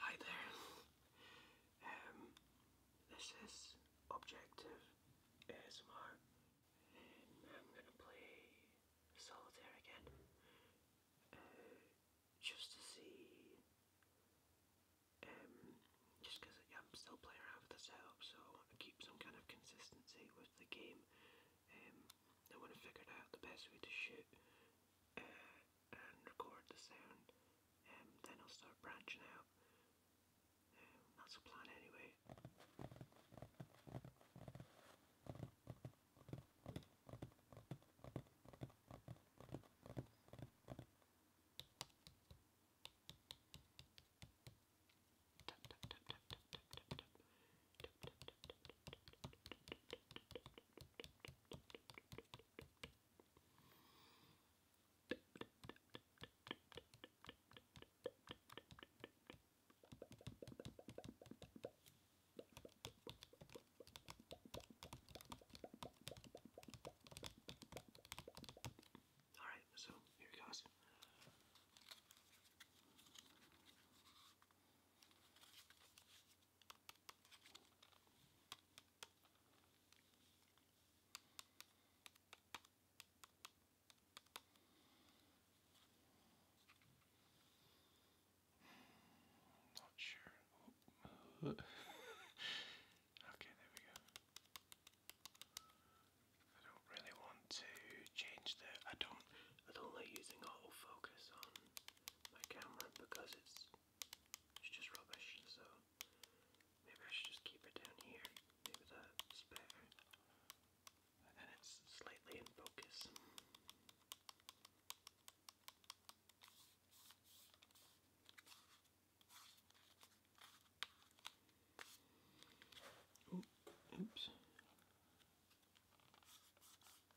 Hi there. Um, this is Objective ASMR. I'm going to play Solitaire again. Uh, just to see... Um, just I'm still playing around with the setup, so I want to keep some kind of consistency with the game. Um, I want to figure out the best way to shoot. Uh, and record the sound. Um, then I'll start branching out. that's the plan anyway. All right, so here it goes. Not sure. okay, there we go. I don't really want to change the. I don't. I don't like using autofocus on my camera because it's it's just rubbish, so maybe I should just keep it down here. Maybe that's better. And it's slightly in focus. oops.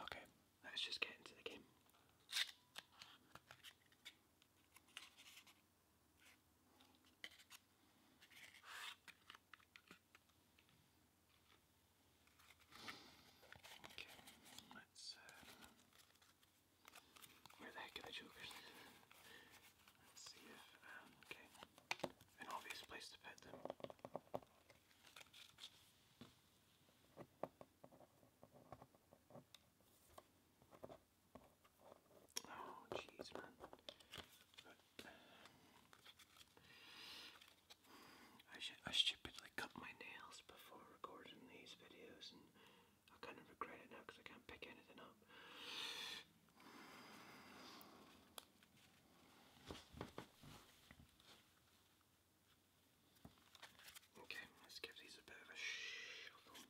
Okay, let's just get into the game. Okay, let's. Uh, where the heck are the Let's see if. Um, okay an obvious place to pet them. Oh, jeez, man. But, uh, I should be like cut my nails before recording these videos, and I kind of regret it now because I can't pick anything up. Okay, let's give these a bit of a shuffle.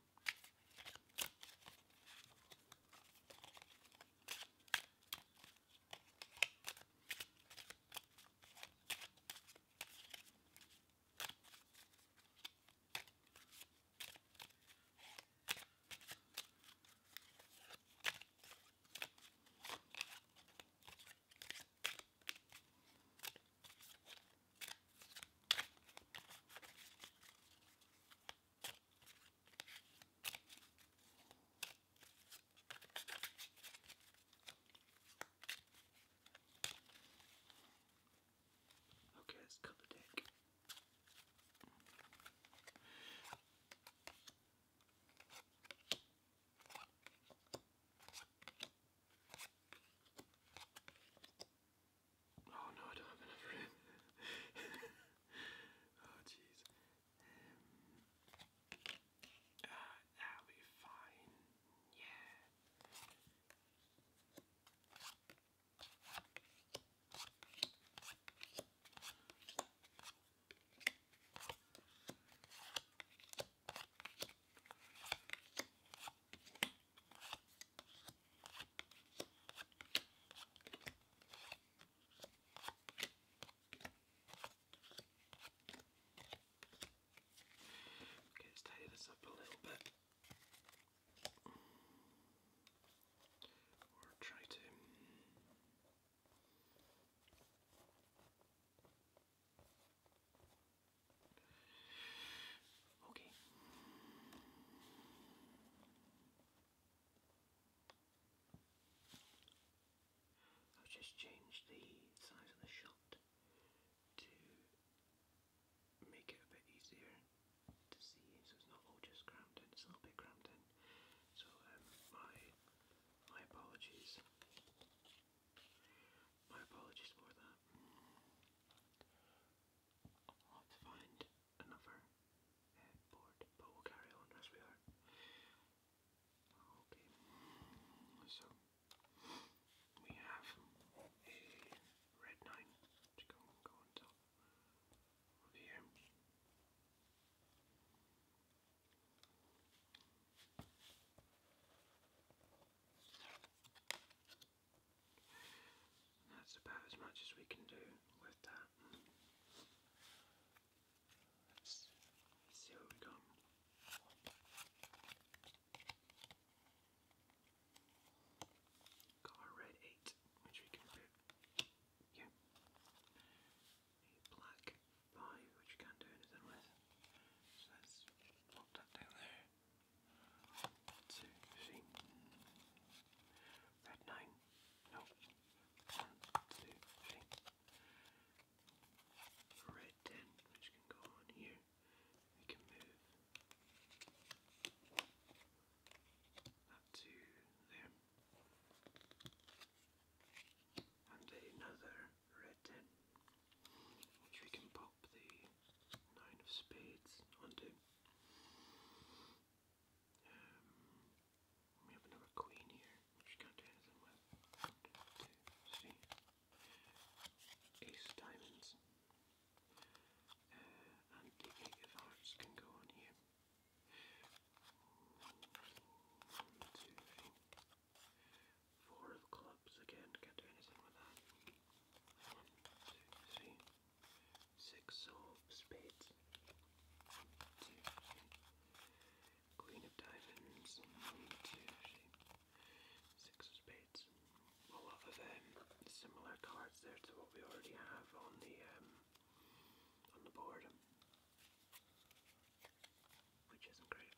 Okay, let's cut the deck. Oh no, I don't have enough room. oh jeez. Um, uh, will be fine. Yeah. Okay, let's tidy this up a little bit. Or try to Okay. I've just changed the size of the shot to make it a bit easier to see so it's not all just crammed in, it's a little bit crammed in. So um, my my apologies. My apologies for that. have to find another board, but we'll carry on as we are. Okay, so we have a red 9 go, go on over here. That's about as much as we can do with that. Let's see what we got. Got red eight, which we can fit yeah, black pie which you can do anything with. So let's pop that down there. One, two, three. Red nine. No. One, two, three. Red ten, which can go on here. We can move that to there and another red 10, which we can pop the 9 of spades onto. Um, we have another queen here, which can't do anything with. One, two, three. Ace diamonds. Uh, and the eight of hearts can go on here. Two, three, four of clubs again, can't do anything with that. One, two, three, six of spades. One, two, three. Queen of diamonds. One, two, of spades. A of um, similar cards there to what we already have on the um, on the board which isn't great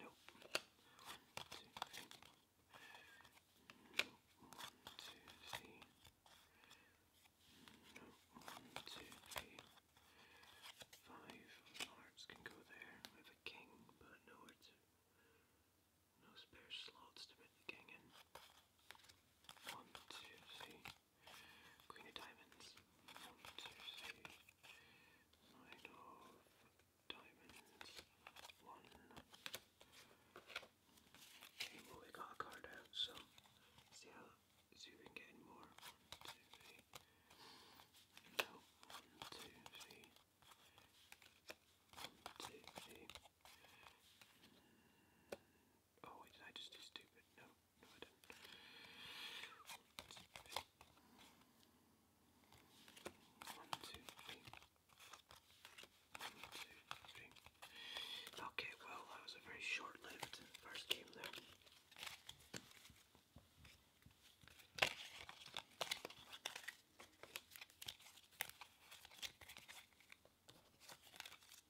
Nope. Nope. One, two, three. Nope. One, two, three. Five hearts can go there. We have a king, but nowhere to. No spare slots to put the king in. One, two, three. Queen of diamonds. One, two, three. Nine of diamonds. One. Okay, well we got a card out, so see how see if we can get more. One, two, three. One, two, three. One, two, three. Oh wait, did I just do stupid? No, no I didn't. One, two, three. One, two, three. Okay, well that was a very short-lived first game there. That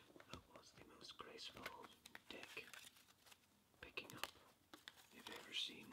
was the most graceful deck picking up you've ever seen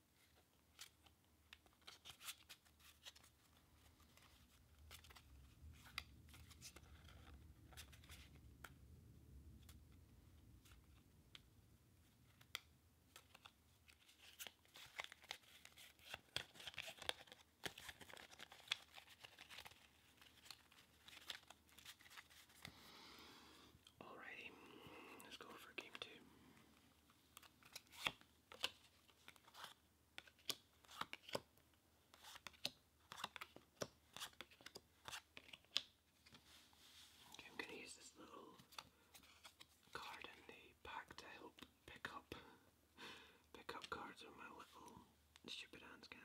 Alrighty, let's go for game two. Okay, I'm going to use this little card in the pack to help pick up pick up cards with my little stupid hands can.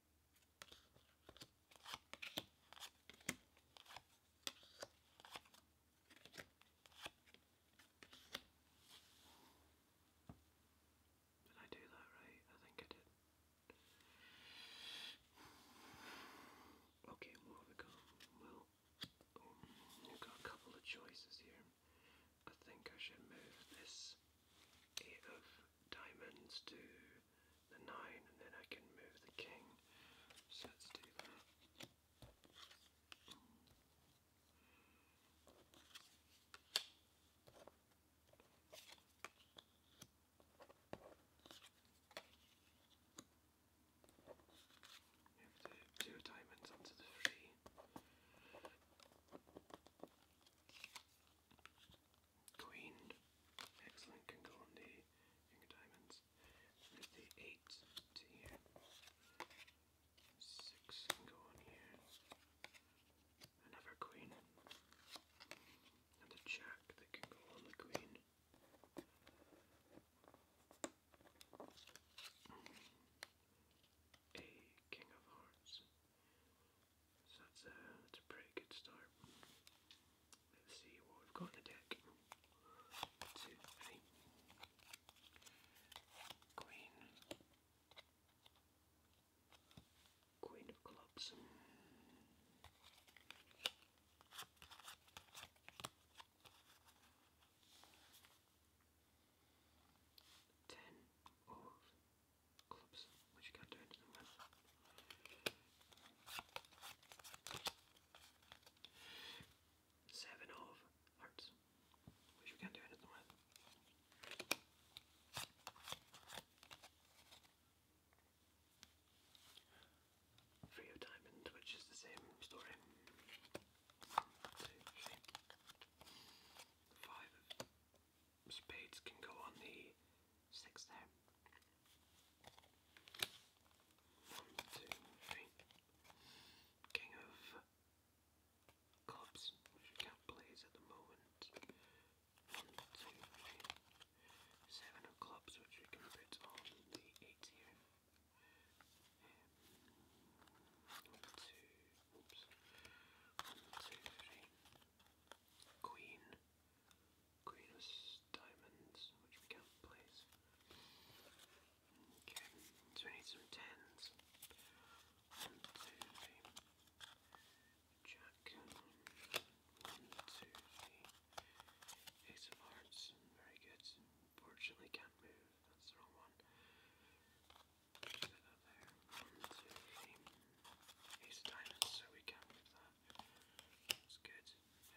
Did I do that right? I think I did. Okay, what have we Well, um, we've got a couple of choices here. I think I should move this diamonds to the nine, and then I can move the king. So let's do that. Move the two diamonds onto the three. Queen. Excellent. Can go on the king of diamonds. There's the Six can go on here. Another queen. And the jack that can go on the queen. A king of hearts. So uh, that's a, pretty good start. Let's see what we've got in the deck. Two, three. Queen. Queen of Clubs. Ten of which Seven of hearts, which you can't do anything with. Three of diamonds, which is the same story. Two, spades can go on the six there. One, two, three. King of clubs, which we can't place at the moment. One, two, of clubs, which we can put on the eight here. Um, one, two, oops. One, two, three. Queen. Queen of diamonds, which we can't place. so we need some tens. One, two, three. Jack. One, two, three. Ace of hearts. Very good. Unfortunately can't move. That's the wrong one. One, two, three. Ace of diamonds, so we can't move that. That's good.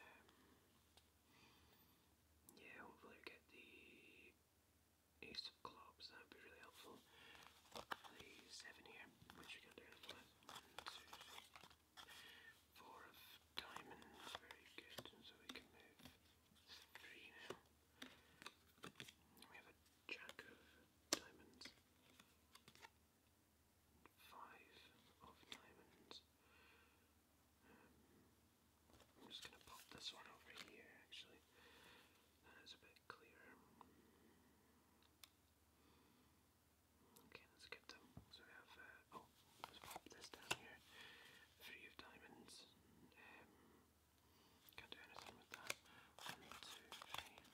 Um, yeah, hopefully get the ace clubs, that would be really helpful. The seven here, which we can do anything of diamonds, very good. so we can move three now. We have a jack of diamonds five of diamonds. Um, I'm just going to pop this one over here actually. That is a bit clearer. Okay, let's get them. So we have, uh, oh, let's pop this down here. Three of diamonds. Um, can't do anything with that. One, two, three.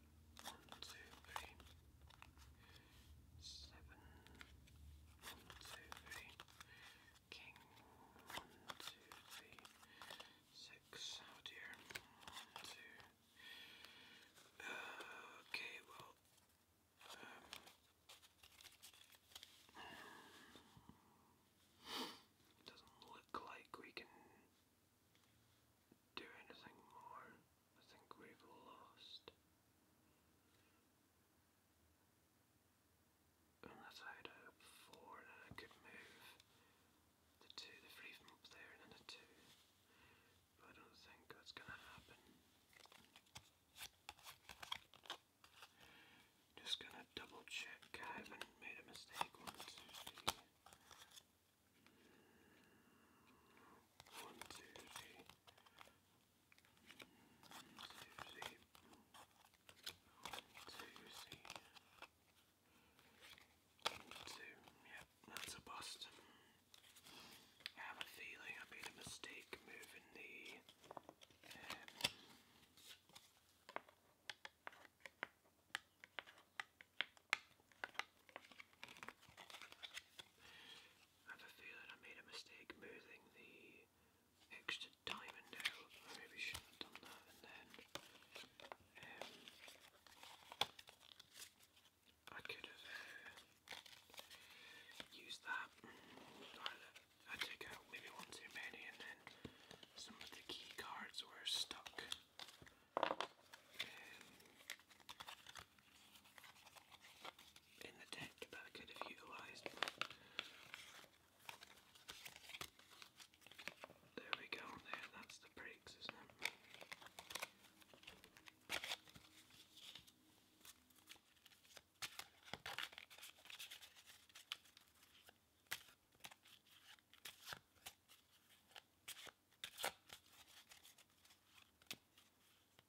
one, two, three, seven, one, two, three, king, one, two, three, six, oh dear, one, two, okay, well, um, it doesn't look like we can do anything more. I think we've lost. Unless I had four and I could move the two, the three from up there and then a two. I don't think that's gonna happen. Just gonna double check haven't made a mistake on one, two, that's a bust. have a feeling I made a mistake moving the. I have a feeling I made a mistake moving the extra diamond out. I shouldn't have done that and then um, I could have uh, used that. Mm, I took out maybe one too many and then some of the key cards were stuck. Um, in the deck that I could have utilised. There we go, there, that's the brakes, isn't it?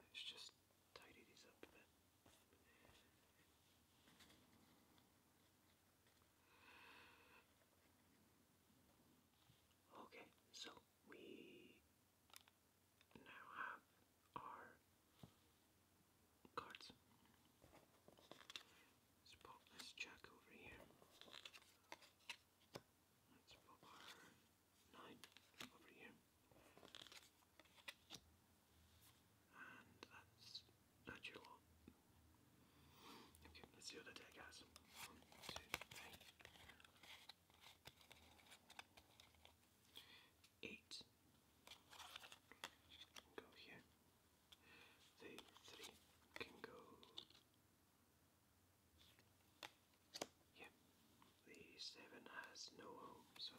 Let's just tidy these up a bit. Okay, so we now have our cards. Let's pop this jack over here. Let's pop our nine over here. And that's that's Okay, let's see the deck has. One, two, three. Eight. go here. The three can go yeah, the seven has no home, so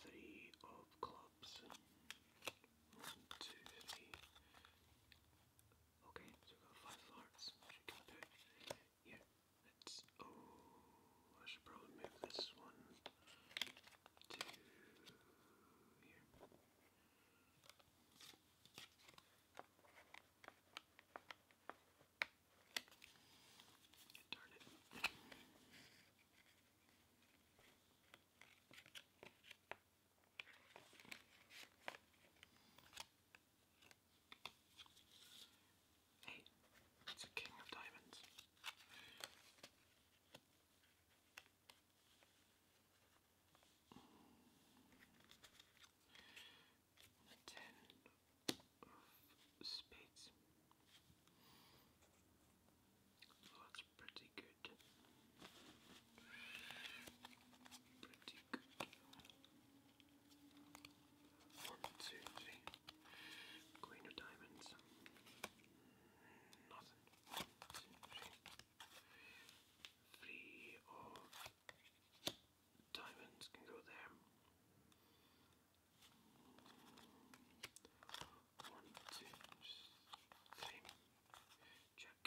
three of clubs. One, two, three. Okay, so we've got five hearts, which oh I should probably move this one to here. it's a king of diamonds. The ten of spades. that's pretty good. Pretty good. One, two, three. Queen of diamonds not free of diamonds can go there. One, two, three. Check.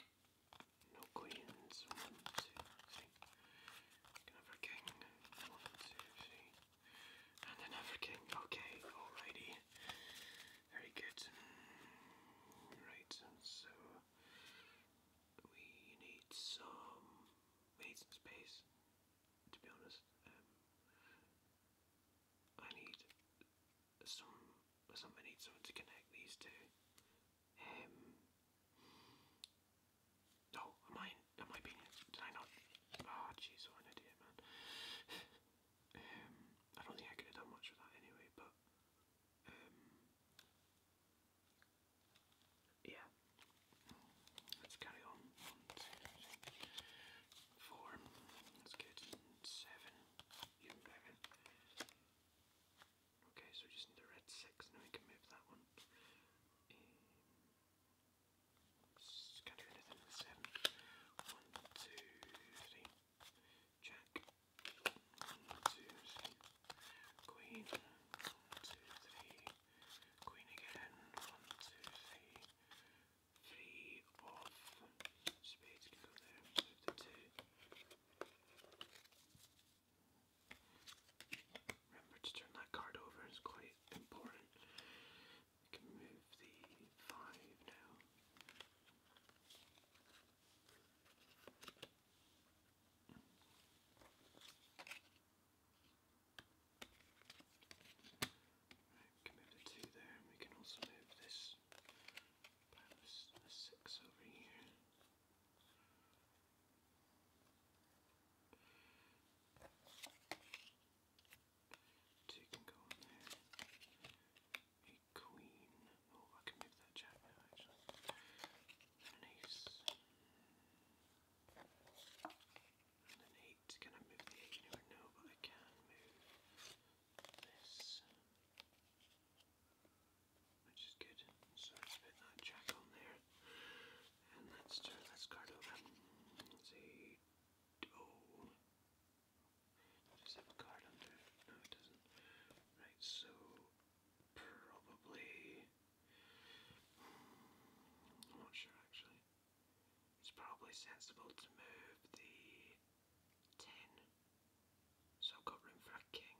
No queens. One, two, three. Can have a One, two, three and then African. Okay, alrighty. Very good. Right, so we need some space, to be honest. Um, I need some some I someone to connect these two. Um, oh, am I am I being did I not Ah jeez what an idiot man. Um, I don't think I could have done much with that anyway, but um, yeah. Let's carry on. One, two, three, four. That's good. Seven. You Okay, so we just need a red six. Now we can move that one. Just can Jack. One, two, three. Queen. One, two, three. Queen again. One, two, three. Three Spades Remember to turn that card over, it's quite important. You can move the five now. we can move the two there, we can also move this six over here. Two can A queen. Oh, I can move that jack now actually. an ace. an eight. Can I move the eight anywhere? No, but I can move this. Which is good. So let's put that jack on there. And let's turn this card over. Let's see. Oh. Right, so probably. Hmm, I'm not sure actually. It's probably sensible to move the 10. So I've got room for a king.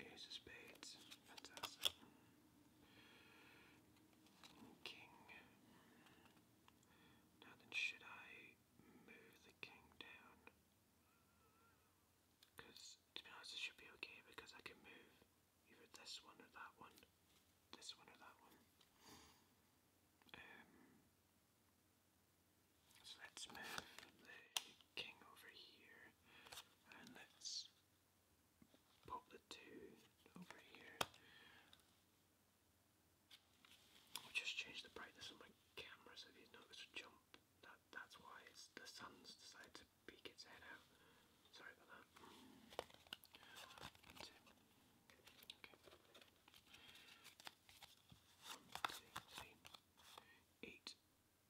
Ace of spades. Fantastic. King. Now then, should I move the king down? Because, to be honest, it should be okay because I can move either this one or that one, this one or that one. Um, so let's move the king over here and let's pop the two over here. I'll just change the brightness of my camera so these notice a jump. That that's why it's the sun's decided to peek its head out. Sorry about that. One, two, three, eight.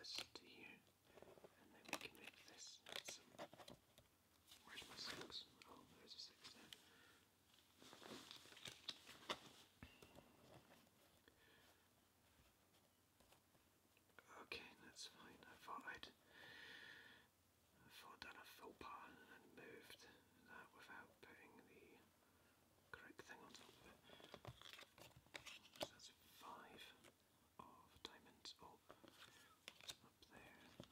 this to here, and then we can make this Where's my six? Oh, there's a six there. Okay, that's fine. I thought I'd I thought done a faux pas and moved that without putting the correct thing on top of it. that's five of diamonds. Oh, up there and up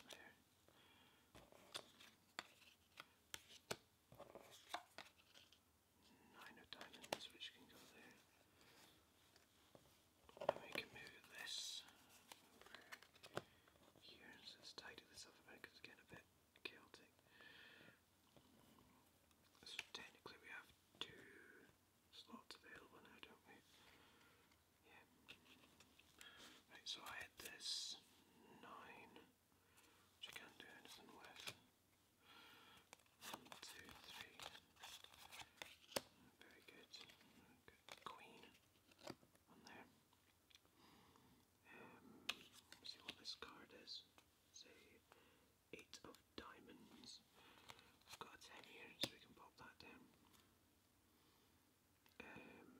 there. Nine of diamonds, which can go there. And we can this here. let's tidy this up a bit it's getting a bit chaotic. So technically we have two slots available now, don't we? Yeah. Right, so I had this 9, which I can't do anything with. One, two, three. Very good. Good queen on there. Um, see what this card is. Say eight of diamonds. I've got ten here, so we can pop that down. Um,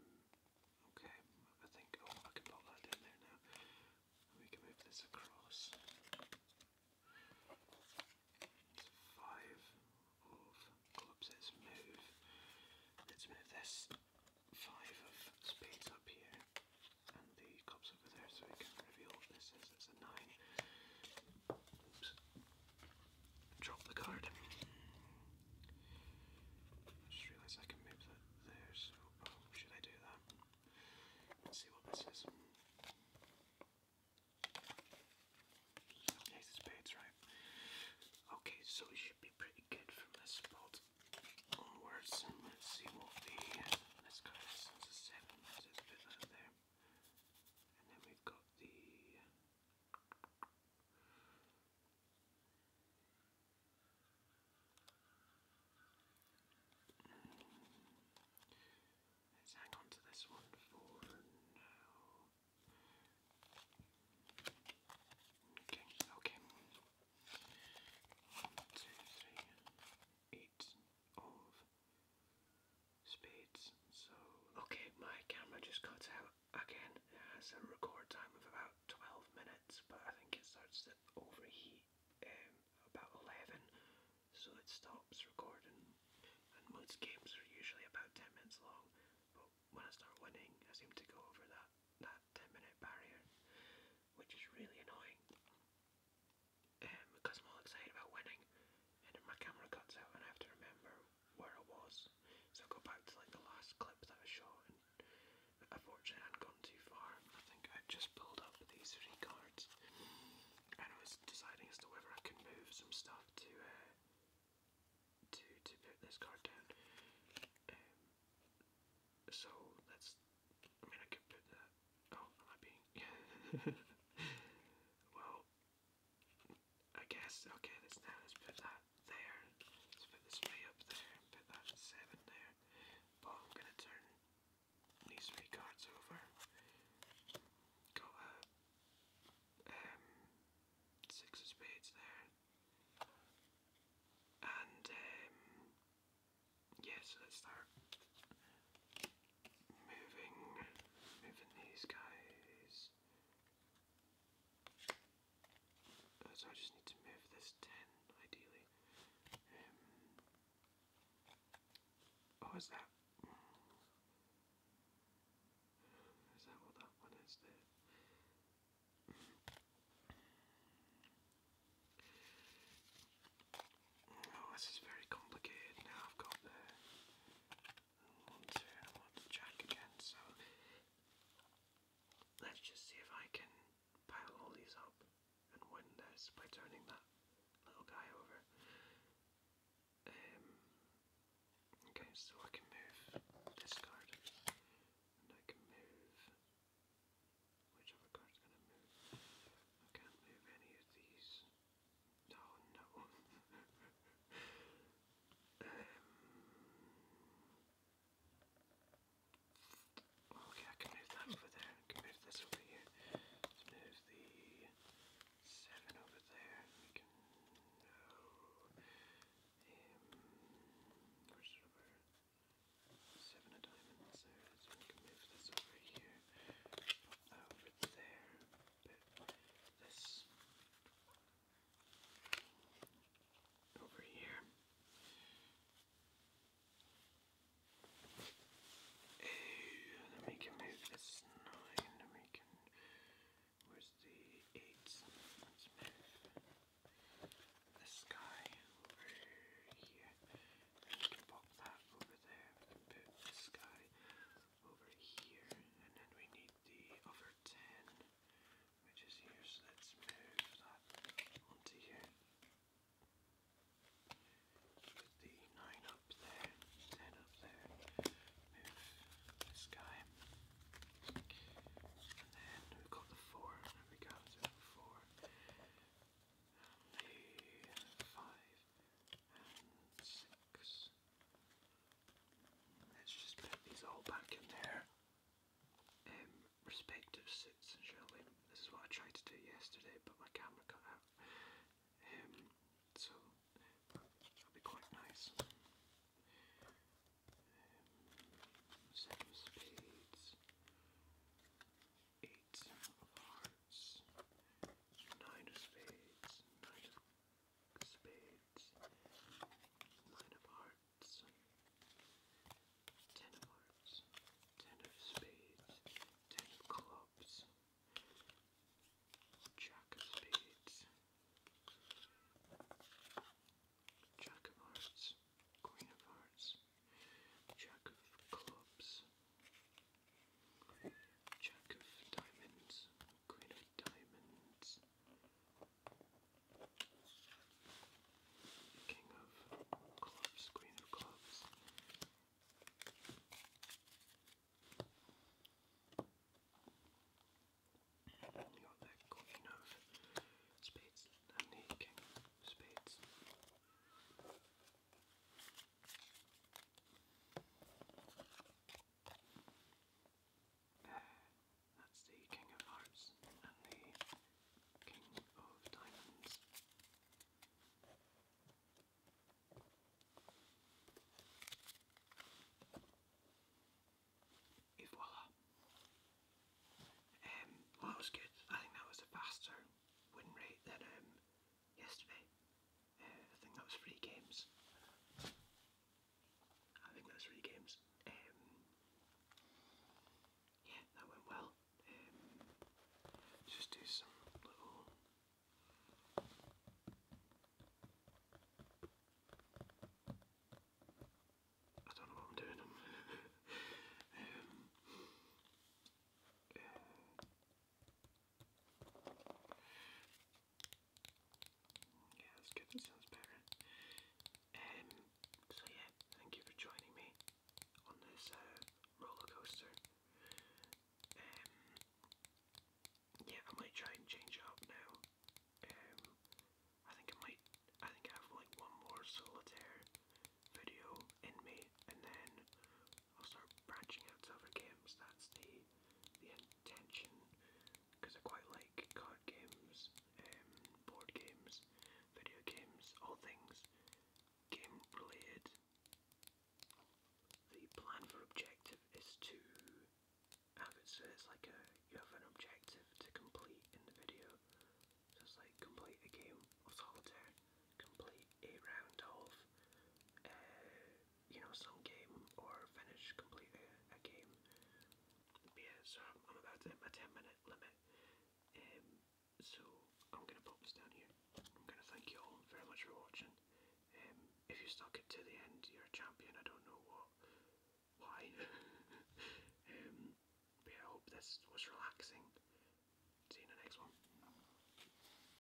okay, I think, oh, I can pop that down there now. We can move this across. five of clubs, let's move. Let's move this five of spades up here and the cups over there so we can reveal what this is. It's a 9. Drop the card. just realised I can move that there, so oh, should I do that? Let's see what this is. Ace of spades, right? Okay, so it should be pretty good from this spot onwards. Let's see what the this card is. It's a seven. Just put Let's hang on to this one for now. Uh, uh, okay. One, two, three, eight, of spades. So, okay, my camera just cut out again. It has a record time of about 12 minutes, but I think it starts to overheat um, about 11, so it stops recording. most games are usually about 10 minutes long, but when I start winning, I seem to go over that, that 10 minute barrier, which is really annoying um, because I'm all excited about winning, and my camera cuts out, and I have to remember where I was. So I go back to like the last clip that I shot, and unfortunately I had gone too far. I think I just pulled up these three cards, and I was deciding as to whether I can move some stuff to uh, to to put this card down. Um, so that's. I mean, I could put that Oh, am I being? well, I guess. Okay, let's put that there. Let's put this three up there. Put that seven there. But I'm gonna turn these three cards over. Got a um, six of spades there, and um, Yes, let's start moving, moving these guys. Oh, so I just need to move this 10, ideally. Um, oh, is that... Is that what that one is there? Oh, this is very complicated now. I've got the one, two, and I want the jack again, so let's just see if I can pile all these up and win this by turning that little guy over. Um, okay, so I can move this card, and I can move Whichever card's gonna move. I can't move any of these. Oh no. Um, okay, I can move that over there. move this over here. move the seven over there. We can no. the um, Seven of diamonds there, we can move this over here over there, this over here uh, then we can move this 9 and we can, where's the 8? this guy over here pop that over there, put this guy over here, and then we need the other 10, which is here, so let's move that onto here. Put the 9 up there, 10 up there, move this guy. And we've got the 4, there we go, so 4. And the 5 let um, Let's just put these all back in their um, respective sits, This is what I tried to do yesterday, but my camera cut out. Um, so that'll be quite nice. Um, seven eight of hearts, nine of spades, nine of spades, nine of hearts, ten of hearts, ten of spades, ten of clubs, jack of spades, jack of hearts, queen of hearts, jack of clubs, Jack of diamonds, queen of diamonds, king of clubs, queen of clubs. You of spades and the king of spades. That's the King of Hearts and the King of Diamonds. Et Um, that was good. I think that was a faster win rate than um, yesterday. Uh, I think that was three games. I think that was three games. Um, yeah, that went well. Um, just do some little I don't know what I'm doing. Um, uh, yeah, that's good, that sounds better. so yeah, thank you for joining me on this uh, roller coaster. Um, yeah, I might try and change up now. Um, I think I might, I think I have like one more solitaire video in me, and then I'll start branching out to other games. That's the the intention because I quite like card games, um, board games, video games, all things game related. The plan for objective is to so it's like a you have an objective to complete in the video. So like complete a game of solitaire, complete a round of uh, you know, some game or finish, complete a, game. yeah, so I'm, about to hit my 10 minute limit. Um, so I'm going to pop this down here. I'm going to thank you all very much for watching. Um, if you stuck it to the end, you're a champion. I don't know what, why. um, but I hope this was relaxing. See you in the next one.